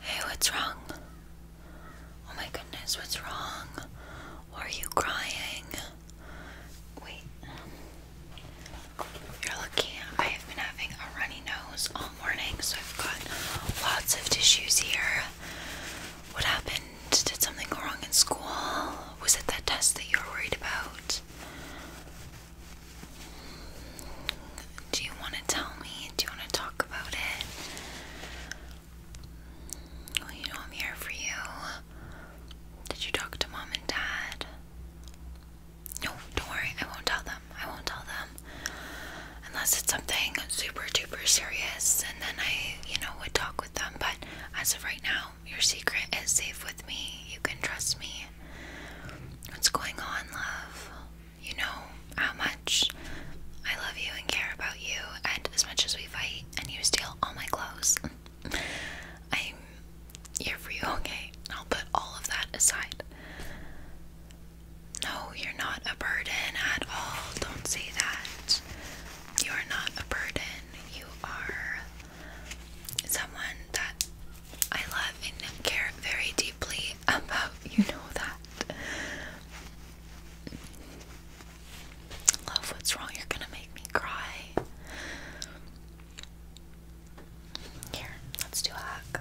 Hey, what's wrong? Oh my goodness, what's wrong? are you crying? Wait. Um, you're lucky. I have been having a runny nose all morning, so I've got lots of tissues here. What happened? Did something go wrong in school? Was it that test that you were worried about? Do you want to tell me? Do you want to talk about it? you know I'm here for you. Did you talk to mom and dad? No, don't worry. I won't tell them. I won't tell them. Unless it's something super duper serious, and then I, you know, would talk with them. But as of right now, your secret is safe with me. You can trust me. What's going on, love? You know how much I love you and care about you, and as much as we fight, and you steal all my clothes, I'm here for you, okay? I'll put all of that aside. No, you're not a burden at all. Don't say that. You are not a burden. You are someone that I love and care very deeply about. You know that. Love, what's wrong? You're gonna make me cry. Here, let's do a hug.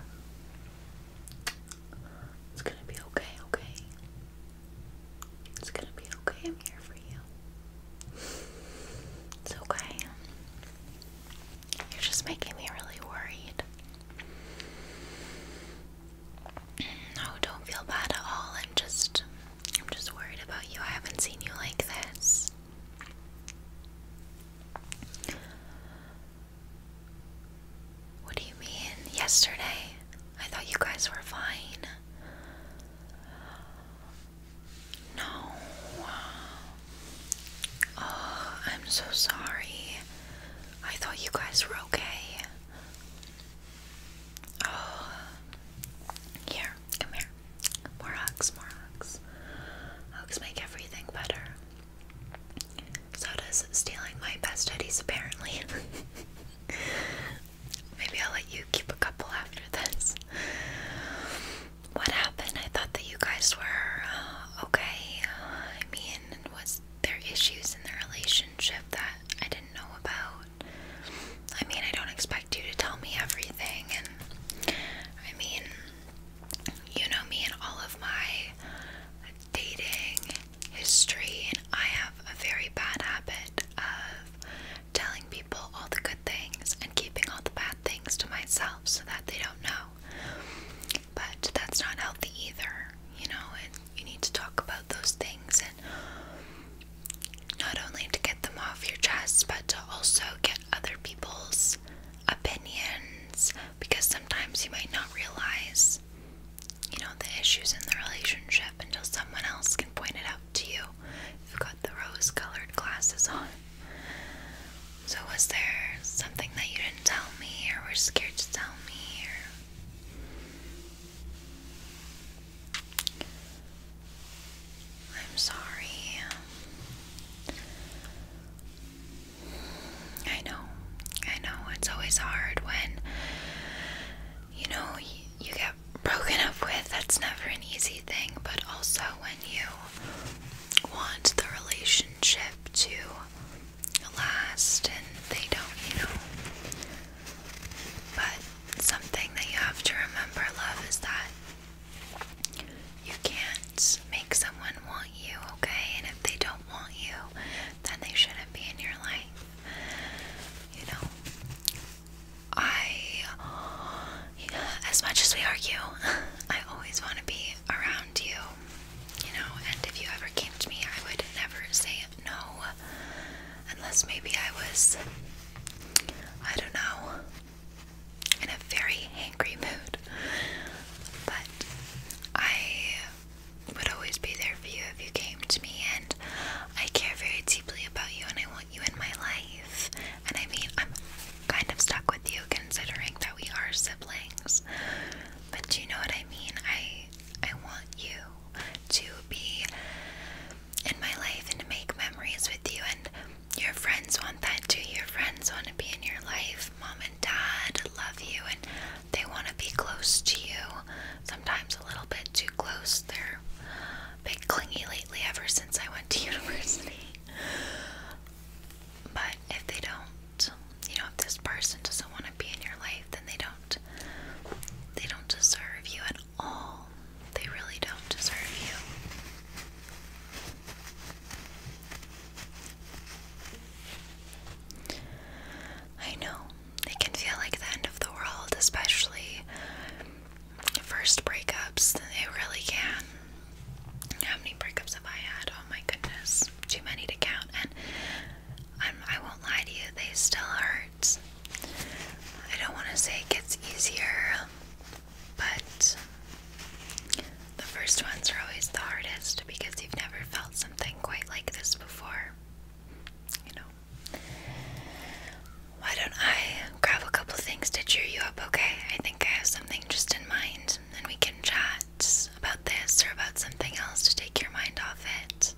It's gonna be okay, okay? It's gonna be okay. I'm here for you. It's okay. You're just making me really worried. No, don't feel bad at all. I'm just I'm just worried about you. I haven't seen you like this. What do you mean? Yesterday? I thought you guys were fine. No. Oh, I'm so sorry. I thought you guys were okay. Oh. Here, come here. More hugs, more hugs. Hugs make everything better. So does stealing my best hoodies, apparently. Maybe I'll let you keep a couple after this. What happened? I thought that you guys were uh, okay. Uh, I mean, was there issues in the relationship that I didn't know about? I mean, I don't expect you to tell me everything, and I mean, you know me and all of my dating history, and I have a very bad habit of telling people all the good things and keeping all the bad things to myself so that they don't don't know. But that's not healthy either, you know, and you need to talk about those things and not only to get them off your chest, but to also get other people's opinions because sometimes you might not realize, you know, the issues in the relationship until someone else can point it out to you. You've got the rose colored glasses on. So, was there something that you didn't tell me or were scared to tell me? Or... I'm sorry. I know. I know. It's always hard when, you know, you get broken up with. That's never an easy thing. But also when you want the relationship to last and they don't, you know. But something that you have to remember, love, is that you can't make someone want you, okay? And if they don't want you, then they shouldn't be in your life. You know, I as much as we argue, I always want to be around you, you know. And if you ever came to me, I would never say no, unless maybe I was, I don't know, in a very angry mood. But I would always be there for you if you came to me, and I care very deeply about you, and I want you in my life. And I mean, I'm kind of stuck with you considering that we are siblings. But you know what I mean? I I want you to be in my life and to make memories with you and your friends want that too. Your friends want to be in your life. Mom and dad love you and they want to be close to you. Sometimes a little bit too close. They're a bit clingy lately ever since I went to university. But if they don't, you know, if this person doesn't want to be in your life, then they don't they don't deserve you at all. They really don't deserve you. I know it can feel like the end of the world, especially first breakups. They really can. How many breakups have I had? Oh my goodness, too many to count. And I'm, I won't lie to you, they still hurt. I don't want to say it gets easier, but the first ones are always the hardest because you've never felt something quite like this before. You know. Why don't I grab a couple things to cheer you up, okay? I think I have something just in mind, and we can chat about this or about something else to take your mind off it.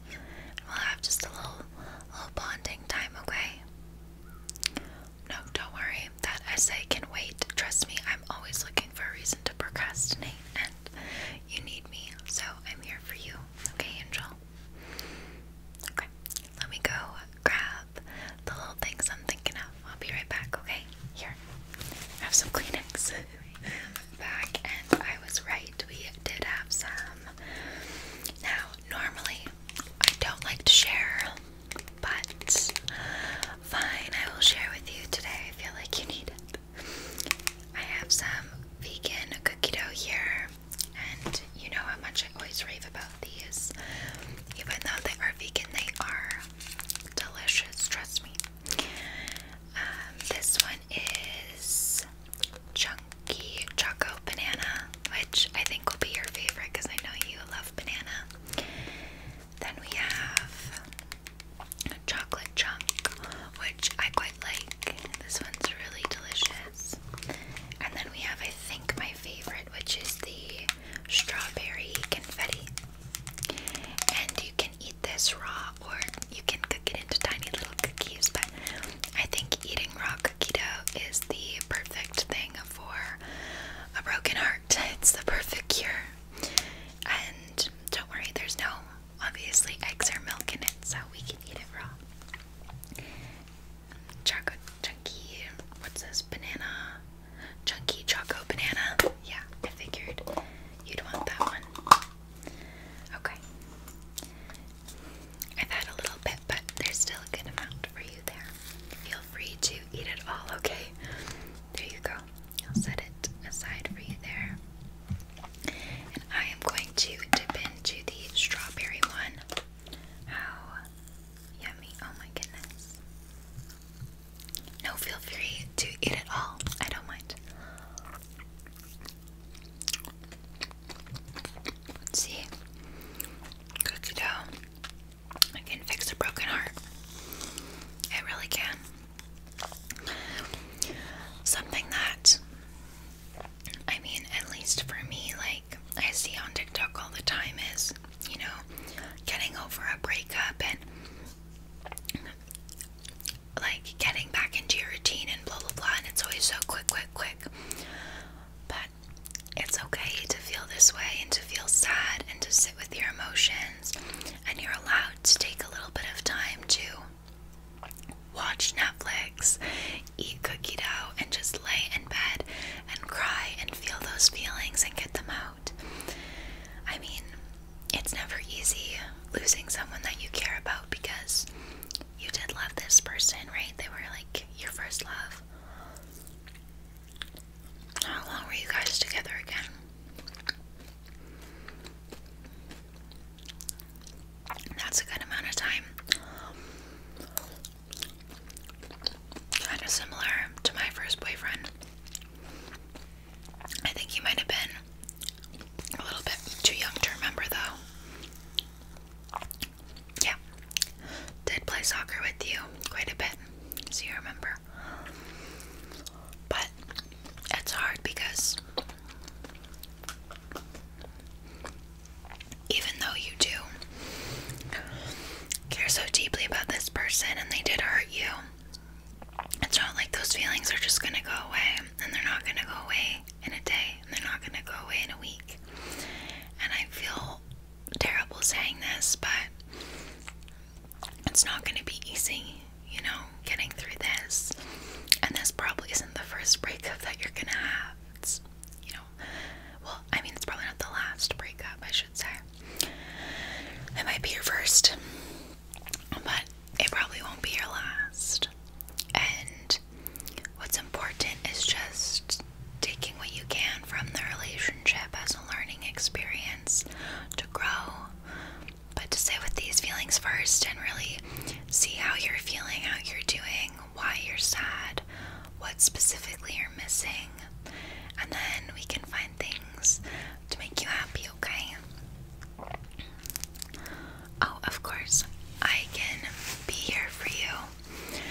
we'll have just a little, little bonding time, okay? No, don't worry. That essay can wait. Trust me, I'm always looking for a reason to procrastinate, and you need me, so I'm here for you, okay, Angel? Okay, let me go grab the little things I'm thinking of. I'll be right back, okay? Here, have some Kleenex. back, and I was right. We did have some. Now, normally, I don't like to share, but fine, I will share with you today. I feel like you need it. I have some vegan cookie dough here, and you know how much I always rave about these. Even though they are vegan, they are delicious, trust me. Um, this one is Chunky Choco Banana, which I think will be your favorite because I know you love banana. Then we have Chocolate Chunk, which I quite like. This one's really delicious. And then we have, I think, my favorite, which is the strawberry confetti. And you can eat this raw or you can cook it into tiny little cookies, but I think eating raw cookie dough is the perfect thing for a broken heart. It's the perfect cure. And don't worry, there's no obviously eggs or milk in it, so we can eat it raw. Chocolate chunky, what's this, banana, chunky choco banana. Yeah, I figured you'd want that one. Okay. I've had a little bit, but there's still a good amount for you there. Feel free to eat it all, okay? There you go. I'll set it aside for you there. And I am going to dip into the strawberry one. How Yummy, oh my goodness. No, feel free to eat it all. I don't mind. see. Cookie dough. I can fix a broken heart. I really can. Something that, I mean, at least for me, like I see on TikTok all the time is you know, getting over a breakup and like getting back into your routine and blah blah blah. And it's always so quick, quick, quick. But it's okay to feel this way and to feel sad and to sit with your emotions. And you're allowed to take a little bit of time to watch Netflix, eat cookie dough, and just lay in bed and cry and feel those feelings and get them out. I mean, it's never easy losing someone that you care about because you did love this person, right? They were like your first love. How long were you guys together again? That's a good amount of time. Kind of similar to my first boyfriend. I think he might have been a little bit too young to remember, though. Yeah. Did play soccer with you quite a bit, so you remember. But it's hard because even though you do care so deeply about this person and they did hurt you, it's not like those feelings are just gonna go away, and they're not gonna go away in a day, they're not gonna go away in a week. And I feel terrible saying this, but it's not gonna be easy, you know, getting through this. And this probably isn't the first breakup that you're gonna have. It's, you well, I mean, it's probably not the last breakup, I should say. It might be your first, but it probably won't be your last. And what's important is just taking what you can from the relationship as a learning experience to grow. But to sit with these feelings first and really see how you're feeling, how you're doing, why you're sad, what specifically you're missing, and then we can find things to make you happy, okay? Oh, of course, I can be here for you.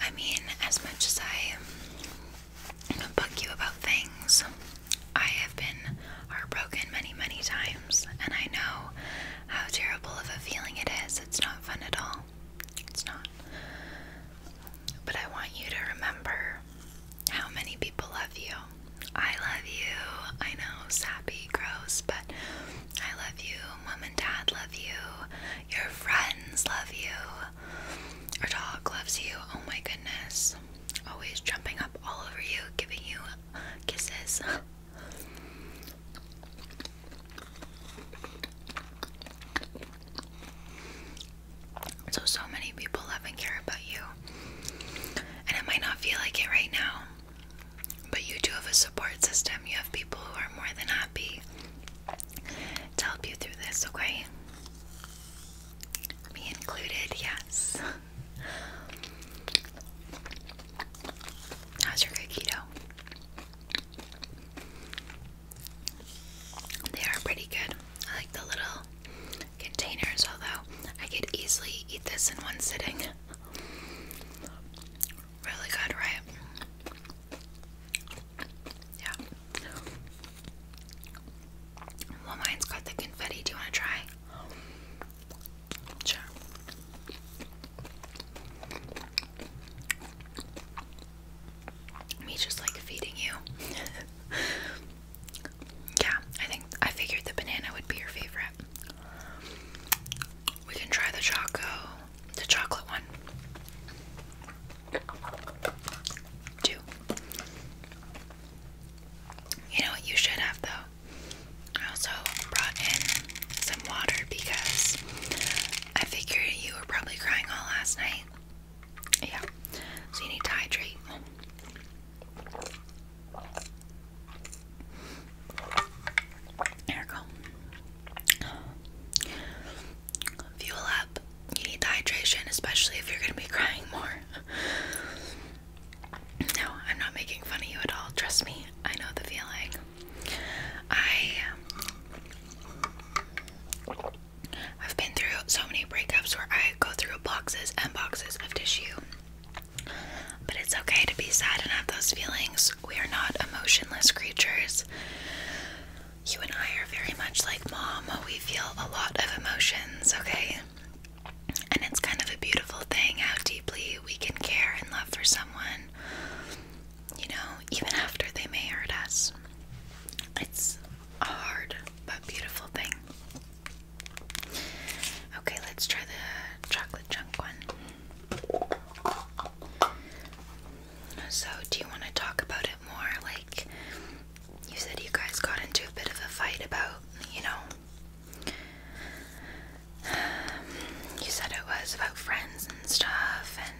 I mean, as much as I bug you about things, I have been heartbroken many, many times, and I know how terrible of a feeling it is. It's not fun at all. It's not. But I want you to remember how many people love you. I love you. I know, sappy, gross, but I love you. Mom and dad love you. Your friends love you. Our dog loves you. Oh my goodness. Always jumping up all over you, giving you kisses. So, so many people love and care about you. And it might not feel like it right now, but you do have a support system. You have people who are more than happy to help you through this, okay? Me included, yes. How's your cookie they are pretty good. I like the little containers, although I could easily eat this in one sitting. Really good, right? Yeah. Well, mine's got the confetti. Do you want to try? Sure. Me just like feeding you. yeah, I think I figured the banana would be your favorite. We can try the choco, the chocolate one. Two. You know you should have though? I also brought in some water because I figured you were probably crying all last night. Yeah, so you need to hydrate. There go. Fuel up. You need the hydration, especially if you're gonna be crying more. No, I'm not making fun of you at all. Trust me, I know the feeling. I um, I've been through so many breakups where I go through boxes and boxes of tissue. But it's okay to be sad and have those feelings. We are not emotionless creatures. You and I are very much like mom. We feel a lot of emotions, okay? And it's kind of a beautiful thing how deeply we can care and love for someone you know, even after they may hurt us. It's a hard but beautiful thing. Okay, let's try the chocolate chunk one. So, do you want to talk about it more? Like, you said you guys got into a bit of a fight about, you know, You said it was about friends and stuff, and.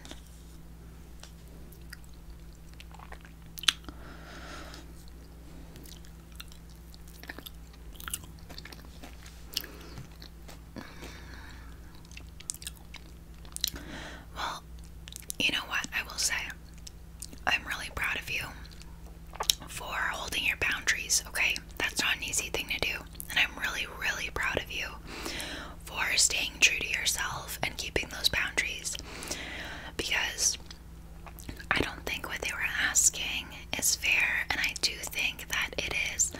Well, you know what? I will say, I'm really proud of you for holding your boundaries, okay? That's not an easy thing to do. And I'm really, really proud of you for staying true to yourself and keeping those boundaries because I don't think what they were asking is fair, and I do think that it is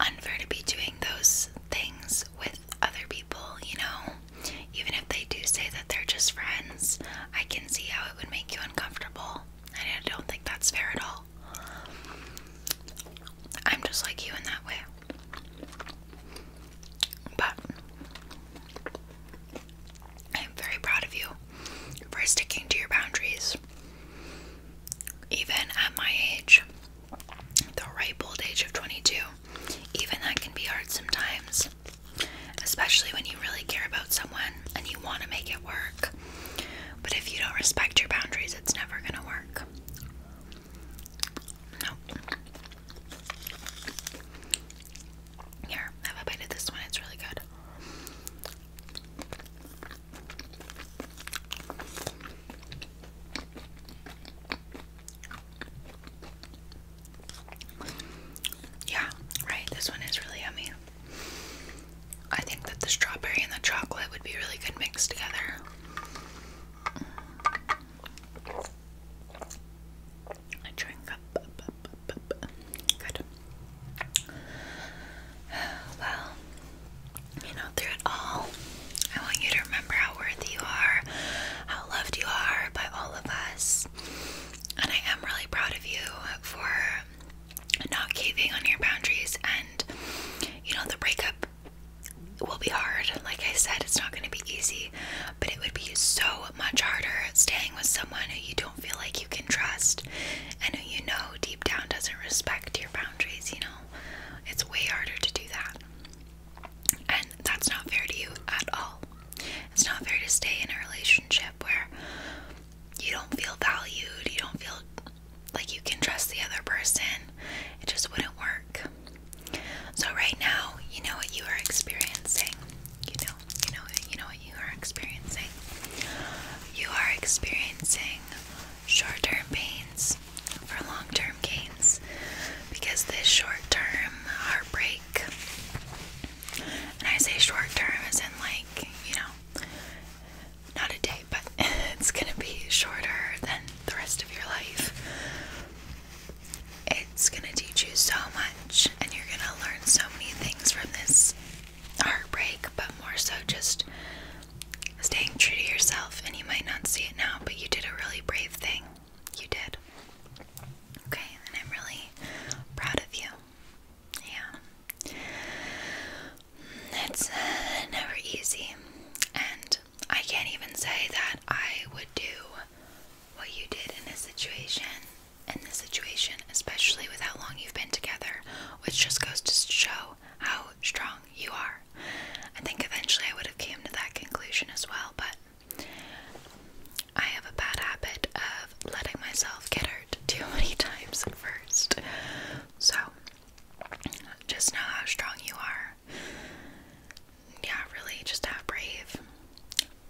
unfair to be doing those things with other people, you know. Even if they do say that they're just friends, I can see how it would make you uncomfortable, and I don't think that's fair at all. I'm just like you in that way. But I'm very proud of you for sticking to your boundaries. Even at my age, the ripe old age of 22, even that can be hard sometimes. Especially when you really care about someone and you want to make it work. But if you don't respect your boundaries, it's never gonna work. No. Here, have a this one. It's really good. Yeah, right. This one is really yummy. I think that the strawberry and the chocolate would be really good mixed together. I drink up, Good. Well, you know, through it all, I want you to remember how worthy you are, how loved you are by all of us. And I am really proud of you for not caving on your boundaries and you know the breakup will be hard like i said it's not going to be easy but it would be so much harder staying with someone who you don't feel like you can trust and who you know deep down doesn't respect your boundaries you know it's way harder to do that and that's not fair to you at all it's not fair to stay in a relationship where you don't feel valued you don't feel like you can trust the other person. It just wouldn't work. So right now, you know what you are experiencing. You know, you know, you know what you are experiencing. You are experiencing short-term pains for long-term gains because this short-term heartbreak. And I say short-term is in like, you know, not a day, but it's gonna be shorter than the rest of your life. It's gonna teach you so much, and you're gonna learn so many things from this heartbreak, but more so just staying true to yourself. And you might not see it now, but you did a really brave thing. You did. Okay, and I'm really proud of you. Yeah. It's uh, never easy. And I can't even say that I would do what you did in this situation. In this situation, especially with how long you've been together, which just goes to show how strong you are. I think eventually I would have came to that conclusion as well, but I have a bad habit of letting myself get hurt too many times first, so just know how strong you are. Yeah, really, just have brave.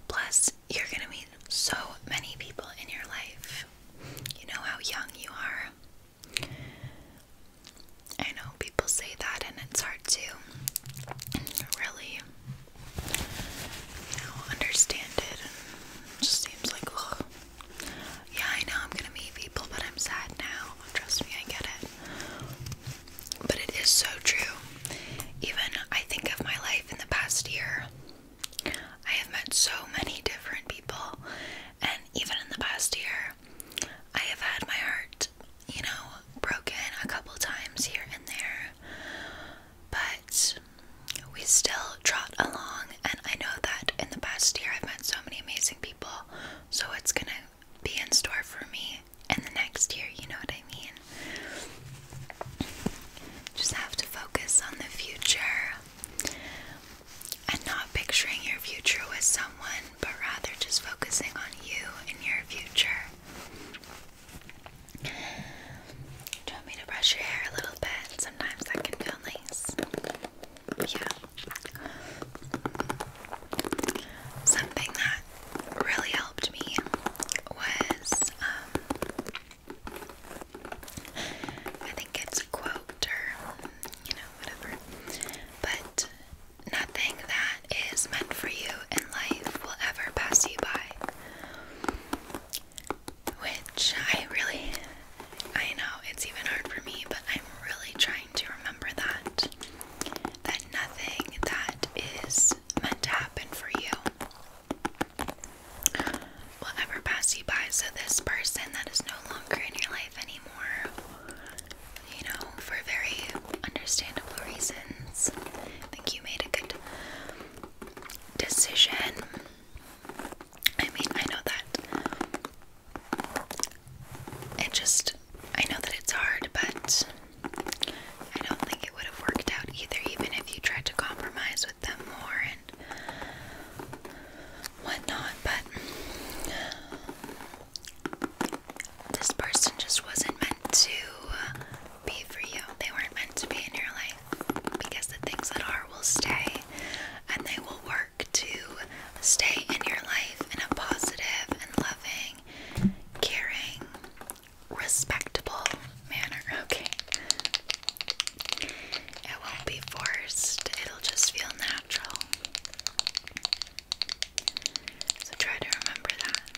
Plus, you're gonna meet so many people in your life. You know how young you are. I know people say that, and it's hard to really understand it. And it just seems like, yeah, I know I'm gonna meet people, but I'm sad now. Trust me, I get it. But it is so true. Even I think of my life in the past year, I have met so many different people, and even in the past year, I have had my heart, you know, broken a couple times here and there. But we still trot along, and I know that in the past year I've met so many amazing people, so it's gonna be in store for me in the next year, you know what I mean? Just have to focus on the future and not picturing your future with someone, but rather just focusing on you and your future. you want me to brush your hair a little bit? sometimes that can feel nice. Yeah. Something that really helped me was, um, I think it's a quote or, you know, whatever. But nothing that is meant for you in life will ever pass you by which I really, I know it's even hard for me, but I'm really trying to remember that. That nothing that is meant to happen for you will ever pass you by. So, this person that is no longer in your life anymore, you know, for very understandable reasons, I think you made a good decision. I mean, I know that it just, I know that it's hard, but I don't think it would have worked out either, even if you tried to compromise with them more and whatnot. But this person just wasn't meant to be for you, they weren't meant to be in your life because the things that are will stay and they will work to stay in your life in a positive and loving, caring, respectable manner. Okay. It won't be forced, it'll just feel natural. So try to remember that.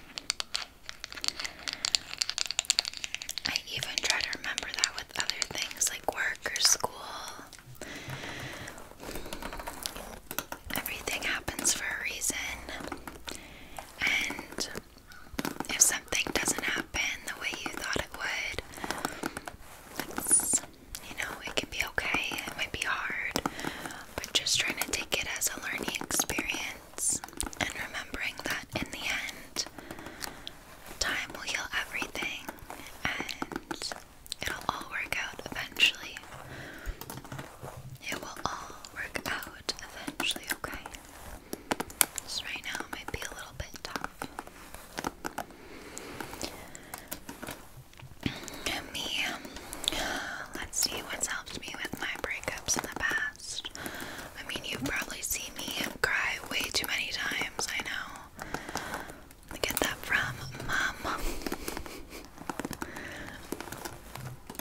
I even try to remember that with other things work or school. Everything happens for a reason, and if something doesn't happen the way you thought it would, you know, it can be okay. It might be hard, but just trying to take it as a learning experience and remembering that in the end, Time will heal everything and it'll all work out eventually. It will all work out eventually, okay? Just right now it might be a little bit tough. Me, um, let's see what's helped me with my breakups in the past. I mean, you've probably seen me cry way too many times, I know. I get that from mom.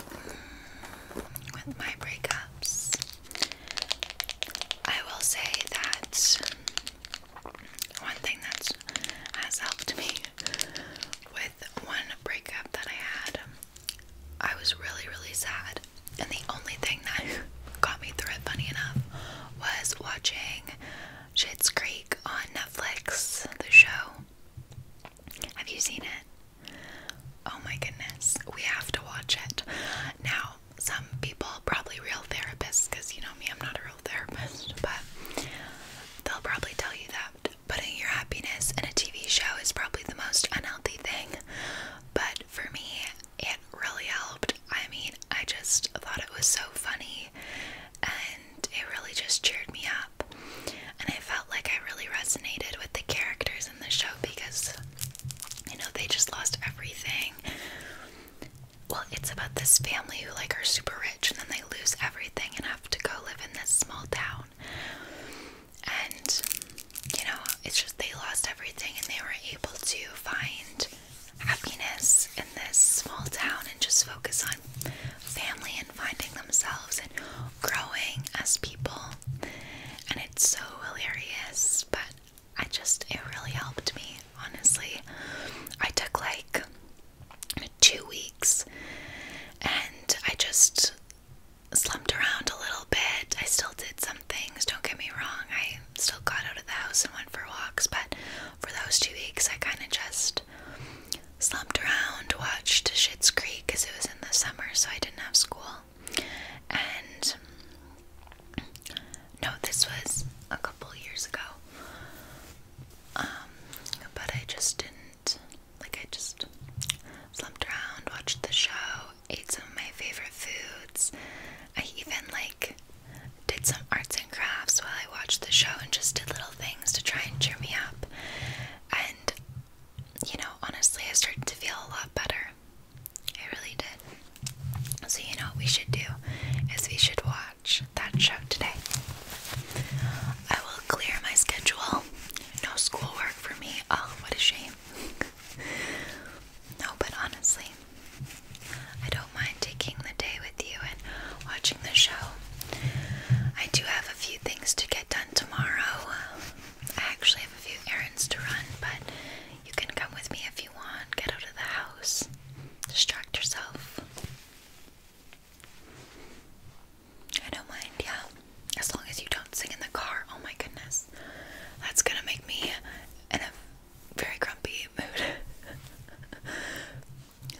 Mm, with my breakups, I will say that one thing that has helped me with one breakup that I had, I was really, really sad and the only thing that got me through it, funny enough, was watching Schitt's Creek on Netflix, the show. Have you seen it? Oh my goodness, we have to watch it. Now, some people, probably real therapists, because you know me, I'm not a real therapist, but they'll probably tell you that putting your happiness in a TV show is probably the most unhealthy thing. But for me, it really helped. I mean, I just thought it was so funny and it really just cheered me up. And I felt like I really resonated with the characters in the show because, you know, they just lost everything. Well, it's about this family who, like, are super rich and then they lose everything and have to go live in this small town. And you know, it's just they lost everything and they were able to find happiness in this small town and just focus on family and finding themselves and growing as people. And it's so hilarious, but I just, it really helped me, honestly. I took like two weeks and I just slumped around a little bit. I still did some things, don't get me wrong. I still got out of the house and went for walks, but for those two weeks, I kind of just slumped around, watched Shit's Creek because it was in the summer, so I didn't have school. And no, this was a couple years ago. Um, but I just didn't like I just slumped around, watched the show, ate some of my favorite foods. I even like did some arts and crafts while I watched the show and just did little things to try and cheer me up. And you know, honestly, I started to feel a lot better. I really did. So, you know what we should do is we should watch that show today. I will clear my schedule. No schoolwork for me. Oh, what a shame. No, but honestly, I don't mind taking the day with you and watching the show. I do have a few things to get done tomorrow. I actually have a few errands to run, but you can come with me if you want. Get out of the house, distract yourself. I don't mind, yeah. As long as you don't sing in the car. Oh my goodness that's gonna make me in a very grumpy mood.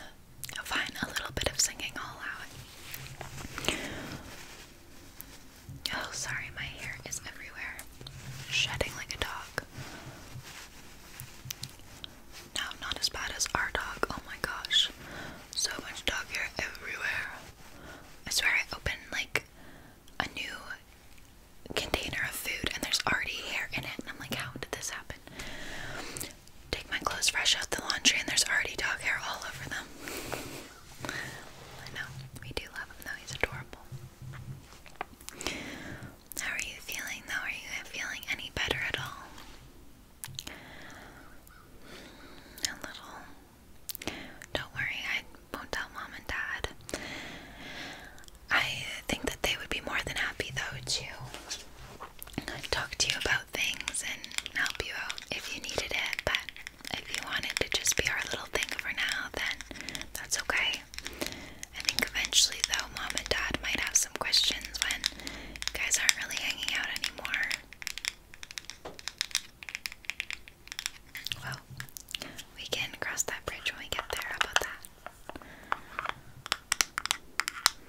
Fine, a little bit of singing, I'll Oh, sorry, my hair is everywhere, shedding like a dog. No, not as bad as our dog. Oh my gosh, so much dog hair everywhere. I swear I opened like a new container of food and there's already hair in it and I'm like how did this happen? Take my clothes fresh out the laundry and there's already dog hair all over them. I know, we do love him though, he's adorable. How are you feeling though? Are you feeling any better at all? A little don't worry, I won't tell mom and dad. I think that they would be more than happy though to talk to you about things and help you out if you needed it, but if you wanted it to just be our little thing for now, then that's okay. I think eventually though mom and dad might have some questions when you guys aren't really hanging out anymore. Well, we can cross that bridge when we get there. How about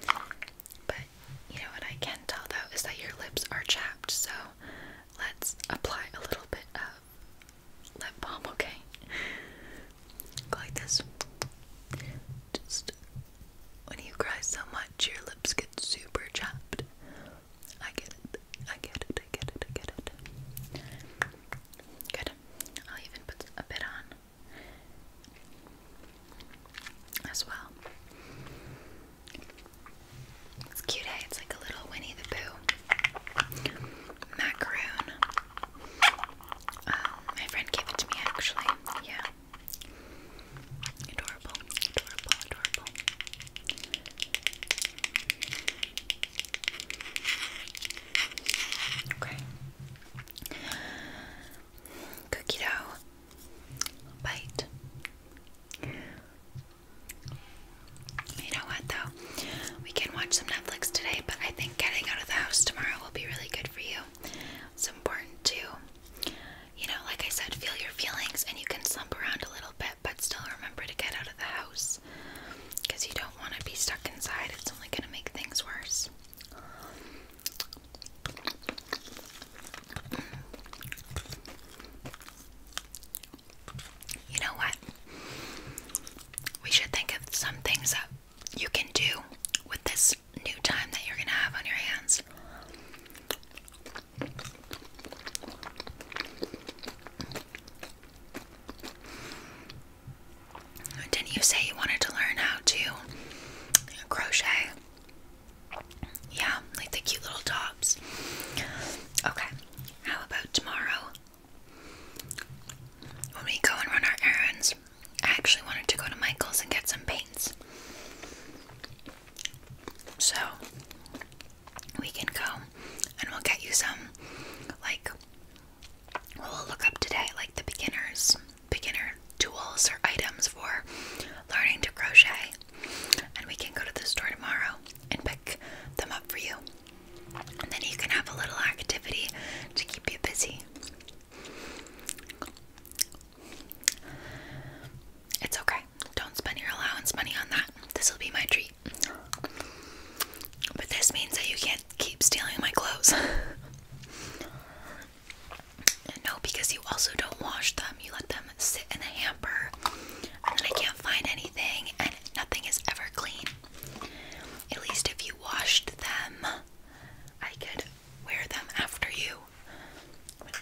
that? But you know what I can tell though is that your lips are chapped, so let's apply a little bit of lip balm, okay? Go like this. Just when you cry so much, your lips get super chapped. I get it. I get it. I get it. I get it. Good. I'll even put a bit on as well. It's cute, eh? It's like a little Winnie the Pooh macaroon. Um, my friend gave it to me actually. Yeah. Adorable, adorable, adorable. Okay. Cookie dough. Bite. You know what though? We can watch some Netflix today, but I think getting out of the house tomorrow will be really good for you. It's important too. you know, like I said, feel your feelings and you can slump around a little bit but still remember to get out of the house because you don't want to be stuck inside. It's only going to make things worse. You know what? We should think of some things that you can do with this new time that you're going to have on your hands. Didn't you say you wanted to learn how to crochet? Yeah, like the cute little tops. Okay, how about tomorrow? When we go and run our errands, I actually wanted to go to Michael's and get some paints. So, we can go and we'll get you some like we'll look up today like the beginners beginner tools or items for learning to crochet and we can go to the store tomorrow and pick them up for you and then you can have a little activity to keep you busy it's okay don't spend your allowance money on that. This will be my treat. But this means that you can't keep stealing my clothes. no, because you also don't wash them. You let them sit in the hamper, and then I can't find anything, and nothing is ever clean. At least if you washed them, I could wear them after you.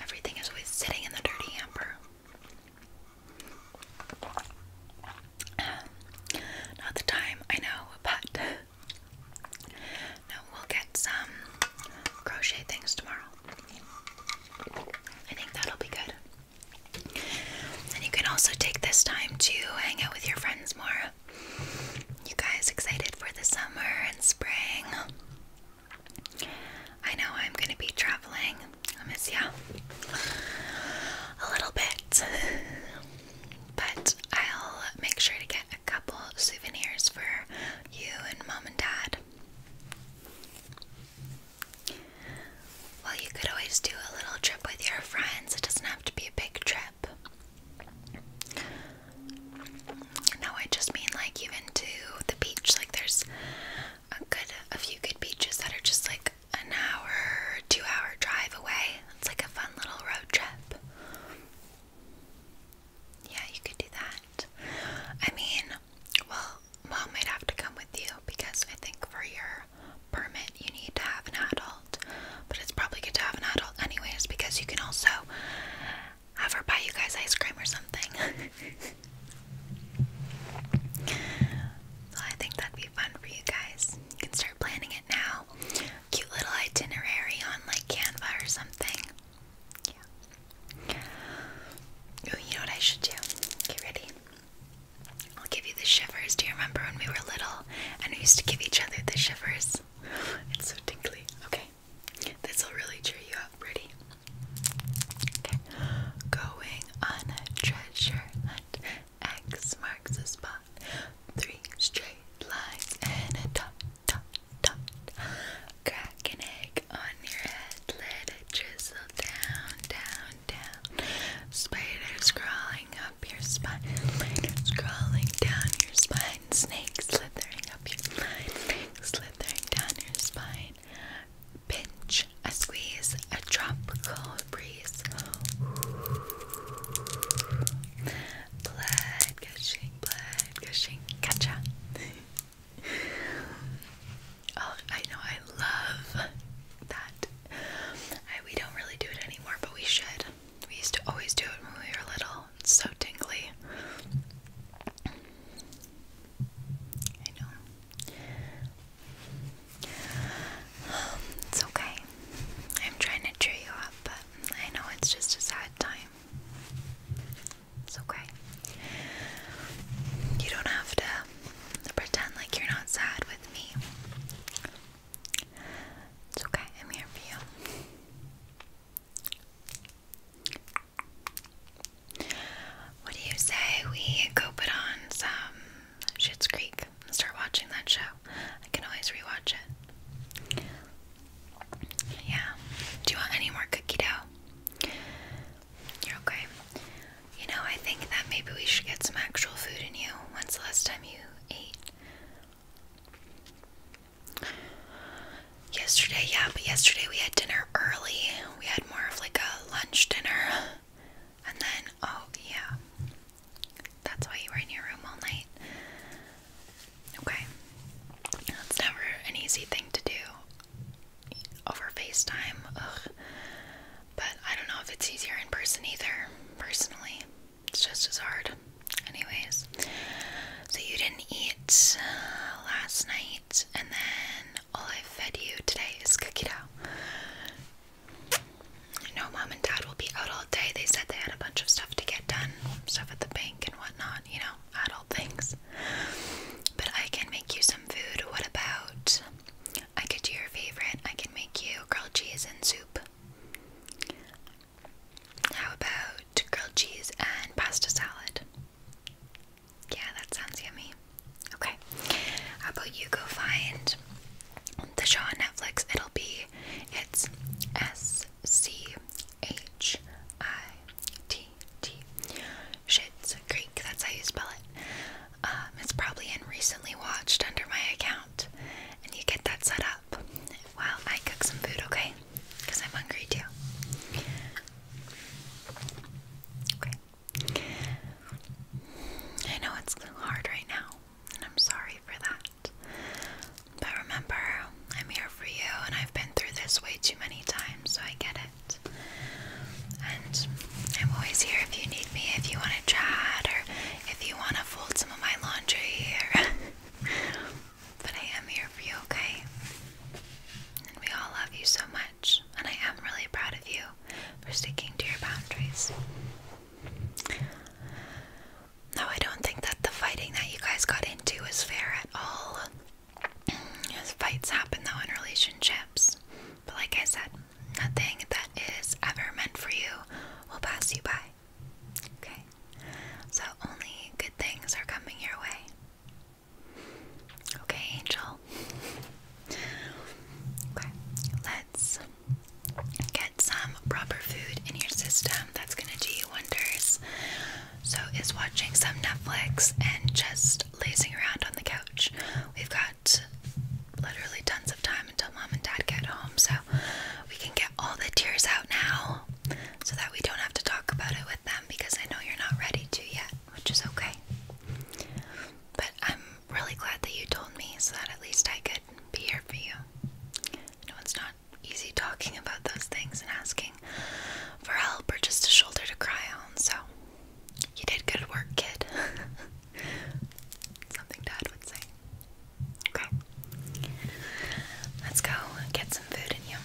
everything is always sitting in the dirty hamper. Um, not the time, I know, but no, we'll get some crochet things tomorrow. I think that'll be good. And you can also take this time to hang out with your friends more. You guys excited for the summer and spring? I know I'm gonna be traveling. I miss you a little bit, but I'll make sure to get a couple souvenirs for you and mom and dad. Well, you could always do a little trip with your friends, it doesn't have to be a big trip. No, I just mean like even to the beach, like there's a good a few good beaches that are just like an hour, two hour drive away. It's like a fun little road trip. Yeah, you could do that. I mean, well, mom might have to come with you because I think for your permit you need to have an adult. But it's probably good to have an adult anyways because you can also have her buy you guys ice cream or something. I think that'd be fun for you guys. You can start planning it now. Cute little itinerary on like Canva or something. Yeah. you know what I should do? Get ready. I'll give you the shivers. Do you remember when we were little and we used to give each other the shivers? It's so tingly. Okay. This will really cheer you up ready? Okay. Going on a treasure hunt. X marks the spot. Three straight lines and a dot, dot, dot. Crack an egg on your head. Let it drizzle down, down, down. Spiders crawling up your spine. Spiders crawling down your spine. Snakes slithering up your spine. slithering down your spine. Pinch, a squeeze, a tropical breeze. Blood gushing, blood gushing, gotcha. oh, I know, I love that. we don't really do it anymore, but we should. We used to always do it when we were little. so tingly. I know. It's okay. I'm trying to cheer you up, but I know it's just a sad time. It's okay. You don't have to pretend like you're not sad with me. It's okay, I'm here for you. What do you say we go put on some Schitt's Creek and start watching that show? I can always rewatch it. Yeah. Do you want any more cookie dough? You're okay. You know, I think that maybe we should get some actual food in you. When's the last time you ate? Yesterday, yeah, but yesterday we had dinner early. We had more of like a lunch dinner. And then, oh yeah. That's why you were in your room all night. Okay. That's never an easy thing to do over FaceTime. But I don't know if it's easier in person either. Personally, it's just as hard. Anyways, so you didn't eat uh, last night, and then all I fed you today is cookie dough. No, mom and dad will be out all day. They said they had a bunch of stuff to get done, stuff at the bank and whatnot, you know, adult things. But I can make you some food. What about? I could do your favorite. I can make you grilled cheese and soup. How about grilled cheese and pasta salad? Yeah, that sounds yummy. Okay, how about you go find the show on Netflix? It'll be it's S C H I T T Shit's Greek. That's how you spell it. Um, it's probably in recently watched under my account, and you get that set up while I cook some food. Okay, because I'm hungry too. Okay. I know it's hard right now, and I'm sorry for that. But remember, I'm here for you, and I've been through this way too many times, so I get it. And I'm always here if you need me, if you want to chat, or if you want to fold some of my laundry. Or but I am here for you, okay? And we all love you so much and I am really proud of you for sticking to your boundaries. No, I don't think that the fighting that you guys got into is fair at all. Fights happen though in relationships, but like I said, nothing that is ever meant for you will pass you by. Okay? So only good things are coming your way. Okay, Angel. Okay, let's get some proper food in your system. That's gonna do wonders. So, is watching some Netflix and just lazing around on the couch. We've got literally tons of time until mom and dad get home, so we can get all the tears out now so that we don't have to talk about it with them because I know you're not ready to yet which is okay. But I'm really glad that you told me so that at least I could be here for you. I it's not easy talking about those things and asking for help or just a shoulder to cry on, so you did good work, kid. Something Dad would say. Okay. Let's go get some food in you.